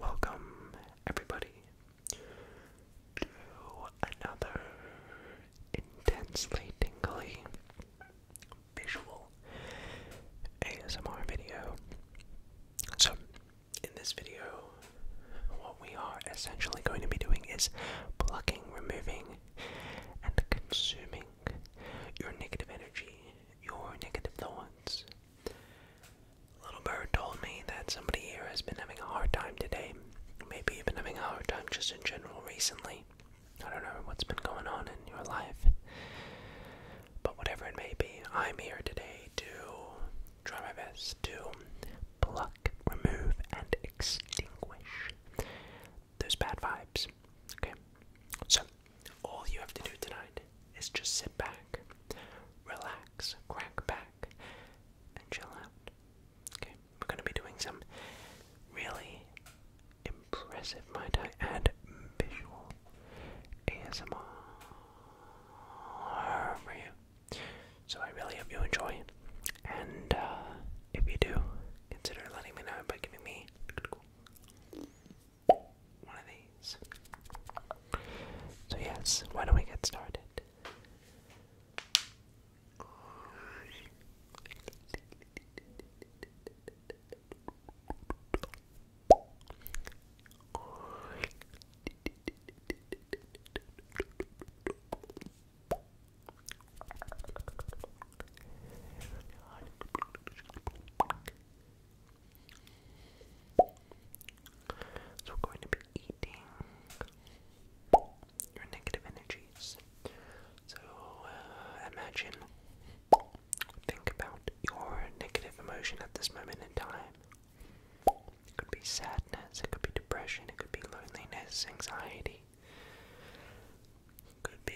Welcome, everybody, to another intensely tingly visual ASMR video. So, in this video, what we are essentially going to be doing is plucking, removing, and consuming your negative energy, your negative thoughts. Little Bird told me that somebody here has been having a hard time today, maybe you've been having a hard time just in general recently. I don't know what's been going on in your life. But whatever it may be, I'm here today to try my best to pluck, remove, and extinguish those bad vibes. Okay? So, all you have to do tonight is just sit back, relax, crack back, and chill out. Okay, we're going to be doing some really impressive, might I add, visual ASMR for you. So I really hope you enjoy, and uh, if you do, consider letting me know by giving me one of these. So yes, why don't we get started? So we're going to be eating your negative energies. So uh, imagine, think about your negative emotion at this moment in time. It could be sadness, it could be depression, it could be loneliness, anxiety, could be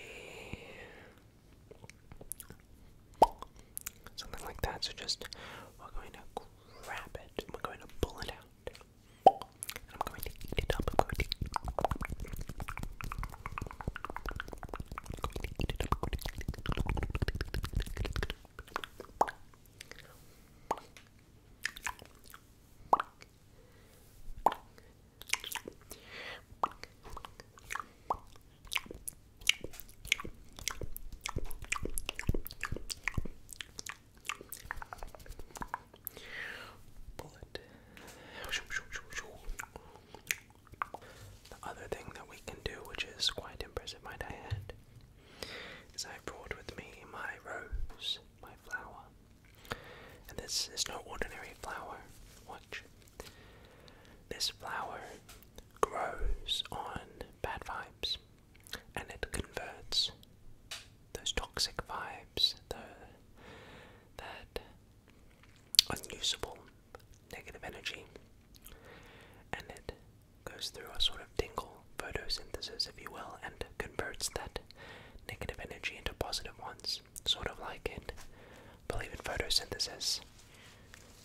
something like that. So just we're going to I'm going to pull it out. I'm going to eat it up. I'm going to eat it up. Bullet. The other thing that we can do, which is quite impressive, might I add, is I brought with me my rose, my flower. And this is no ordinary flower. Watch. This flower grows on bad vibes and it converts those toxic vibes, the, that unusable negative energy, and it goes through a sort of tingle photosynthesis, if you will, and converts that negative energy into positive ones, sort of like in, believe in photosynthesis.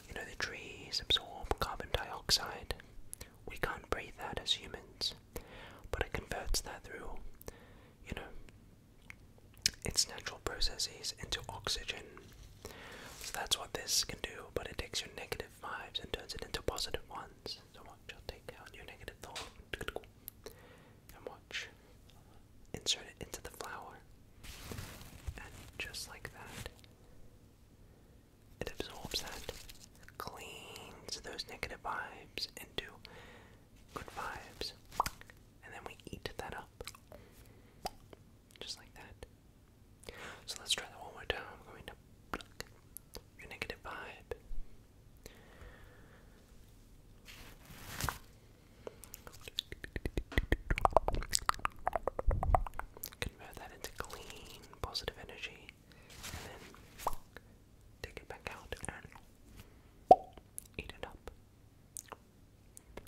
You know, the trees absorb carbon dioxide, we can't breathe that as humans, but it converts that through, you know, its natural processes into oxygen. So that's what this can do, but it takes your negative vibes and turns it into positive ones. So watch, I'll take out your negative thought and watch. Insert it into the flower. And just like that, it absorbs that, cleans those negative vibes into good vibes, and then we eat that up. Just like that. So let's try that one more time. I'm going to your negative vibe convert that into clean positive energy, and then take it back out and eat it up.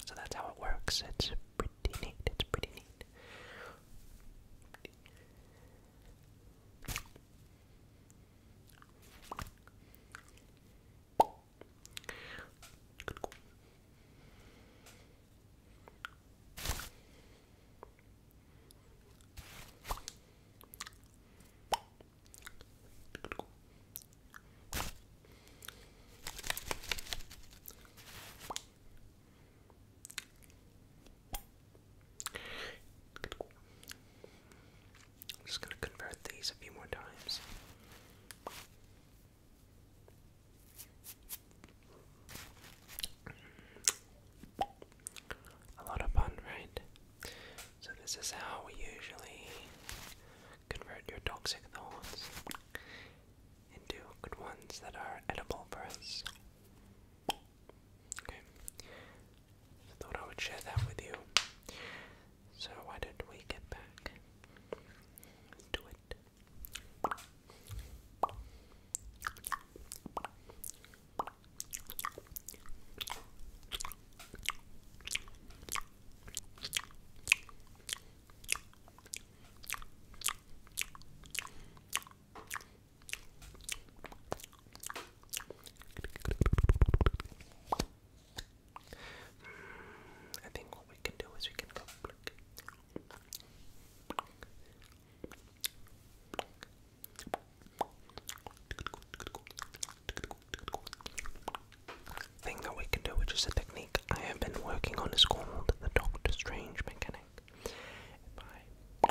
So that's how it works. It's pretty neat. It's pretty neat. Good. I'm just going to convert these a few more times. A lot of fun, right? So, this is how we usually convert your toxic thoughts into good ones that are edible for us. Okay. thought I would share that with you. So, why don't we get back to it? Mm, I think what we can do is we can go Thing that we can do, which is a technique I have been working on, is called the Doctor Strange mechanic. If I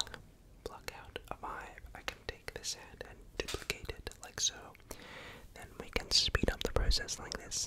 pluck out a vibe, I can take this hand and duplicate it like so. Then we can speed up the process like this.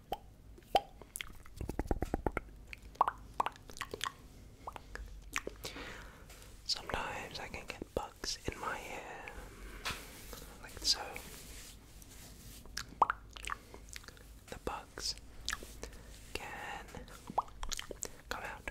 Sometimes I can get bugs in my hair, like so. The bugs can come out.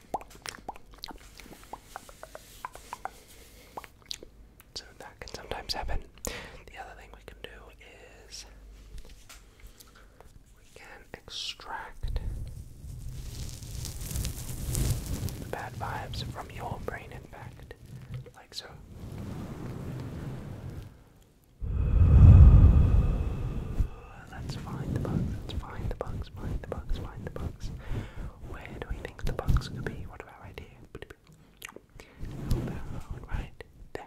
So that can sometimes happen. The other thing we can do is we can extract the bad vibes from your brain, in fact, like so. Let's find the bug, let's find the bug bugs, the bugs, find the bugs. Where do we think the box could be? What about right here? How about right there?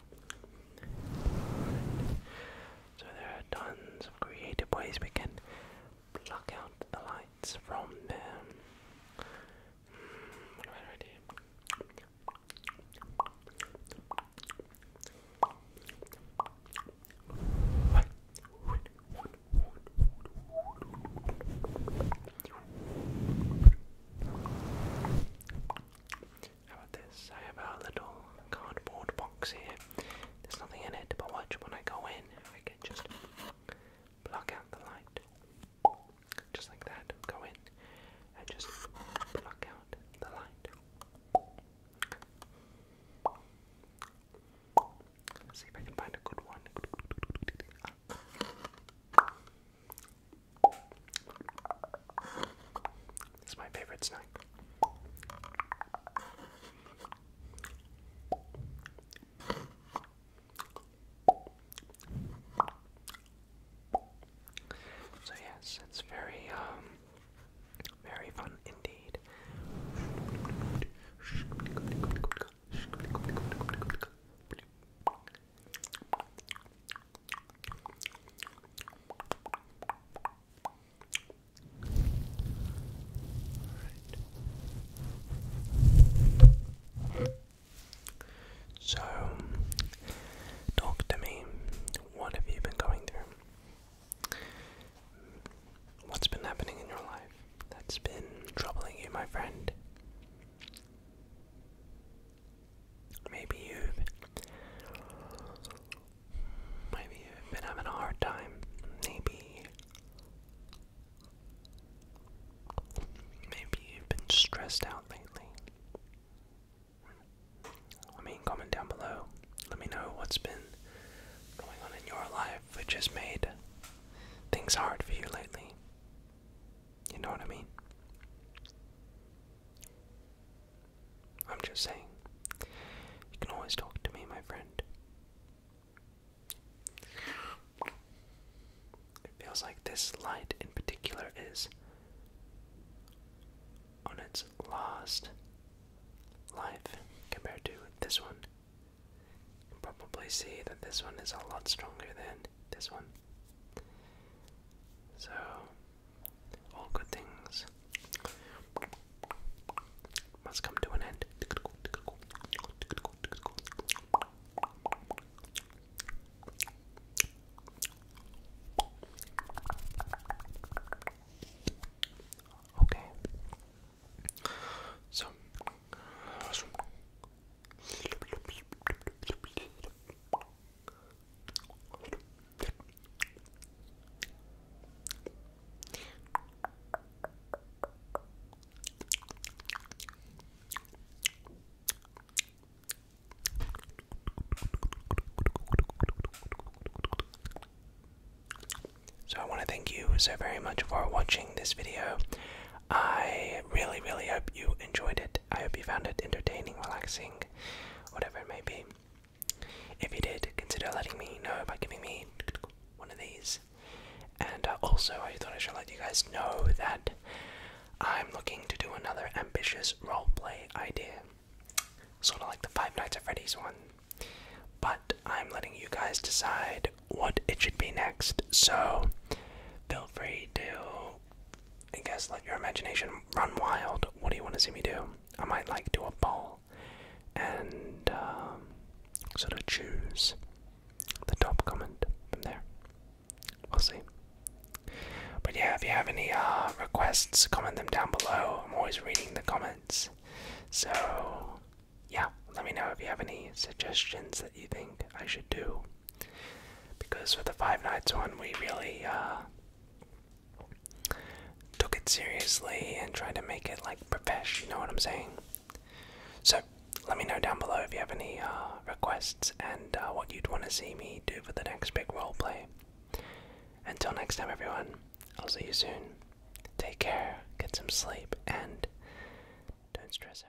So there are tons of creative ways we can block out the lights from them. Mm, right, right how about this? I have a little cardboard box here. There's nothing in it, but watch when I go in, I can just pluck out the light. Just like that. Go in and just pluck out the light. see if I can find a good one. It's my favorite snack. So yes, it's very um, very fun indeed. So, talk to me. What have you been going through? What's been happening in your life that's been troubling you, my friend? Maybe you've maybe you've been having a hard time. Maybe maybe you've been stressed out lately. I mean, comment down below. Let me know what's been going on in your life which has made things hard for you lately. You know what I mean? I'm just saying. You can always talk to me, my friend. It feels like this light in particular is on its last life compared to this one. You can probably see that this one is a lot stronger than this one. So, all good things must come to an end. Okay. So, so I want to thank you so very much for watching this video. I really, really hope you enjoyed it. I hope you found it entertaining, relaxing, whatever it may be. If you did, consider letting me know by giving me one of these. And uh, also, I thought I should let you guys know that I'm looking to do another ambitious roleplay idea. Sort of like the Five Nights at Freddy's one. But I'm letting you guys decide what it should be next, so feel free to I guess let your imagination run wild. What do you want to see me do? I might like do a poll and um, sort of choose the top comment from there. We'll see. But yeah, if you have any uh, requests, comment them down below. I'm always reading the comments. So yeah, let me know if you have any suggestions that you think I should do because for the Five Nights one, we really uh, took it seriously and tried to make it like professional. you know what I'm saying? So, let me know down below if you have any uh, requests and uh, what you'd want to see me do for the next big role play. Until next time, everyone, I'll see you soon. Take care, get some sleep, and don't stress out.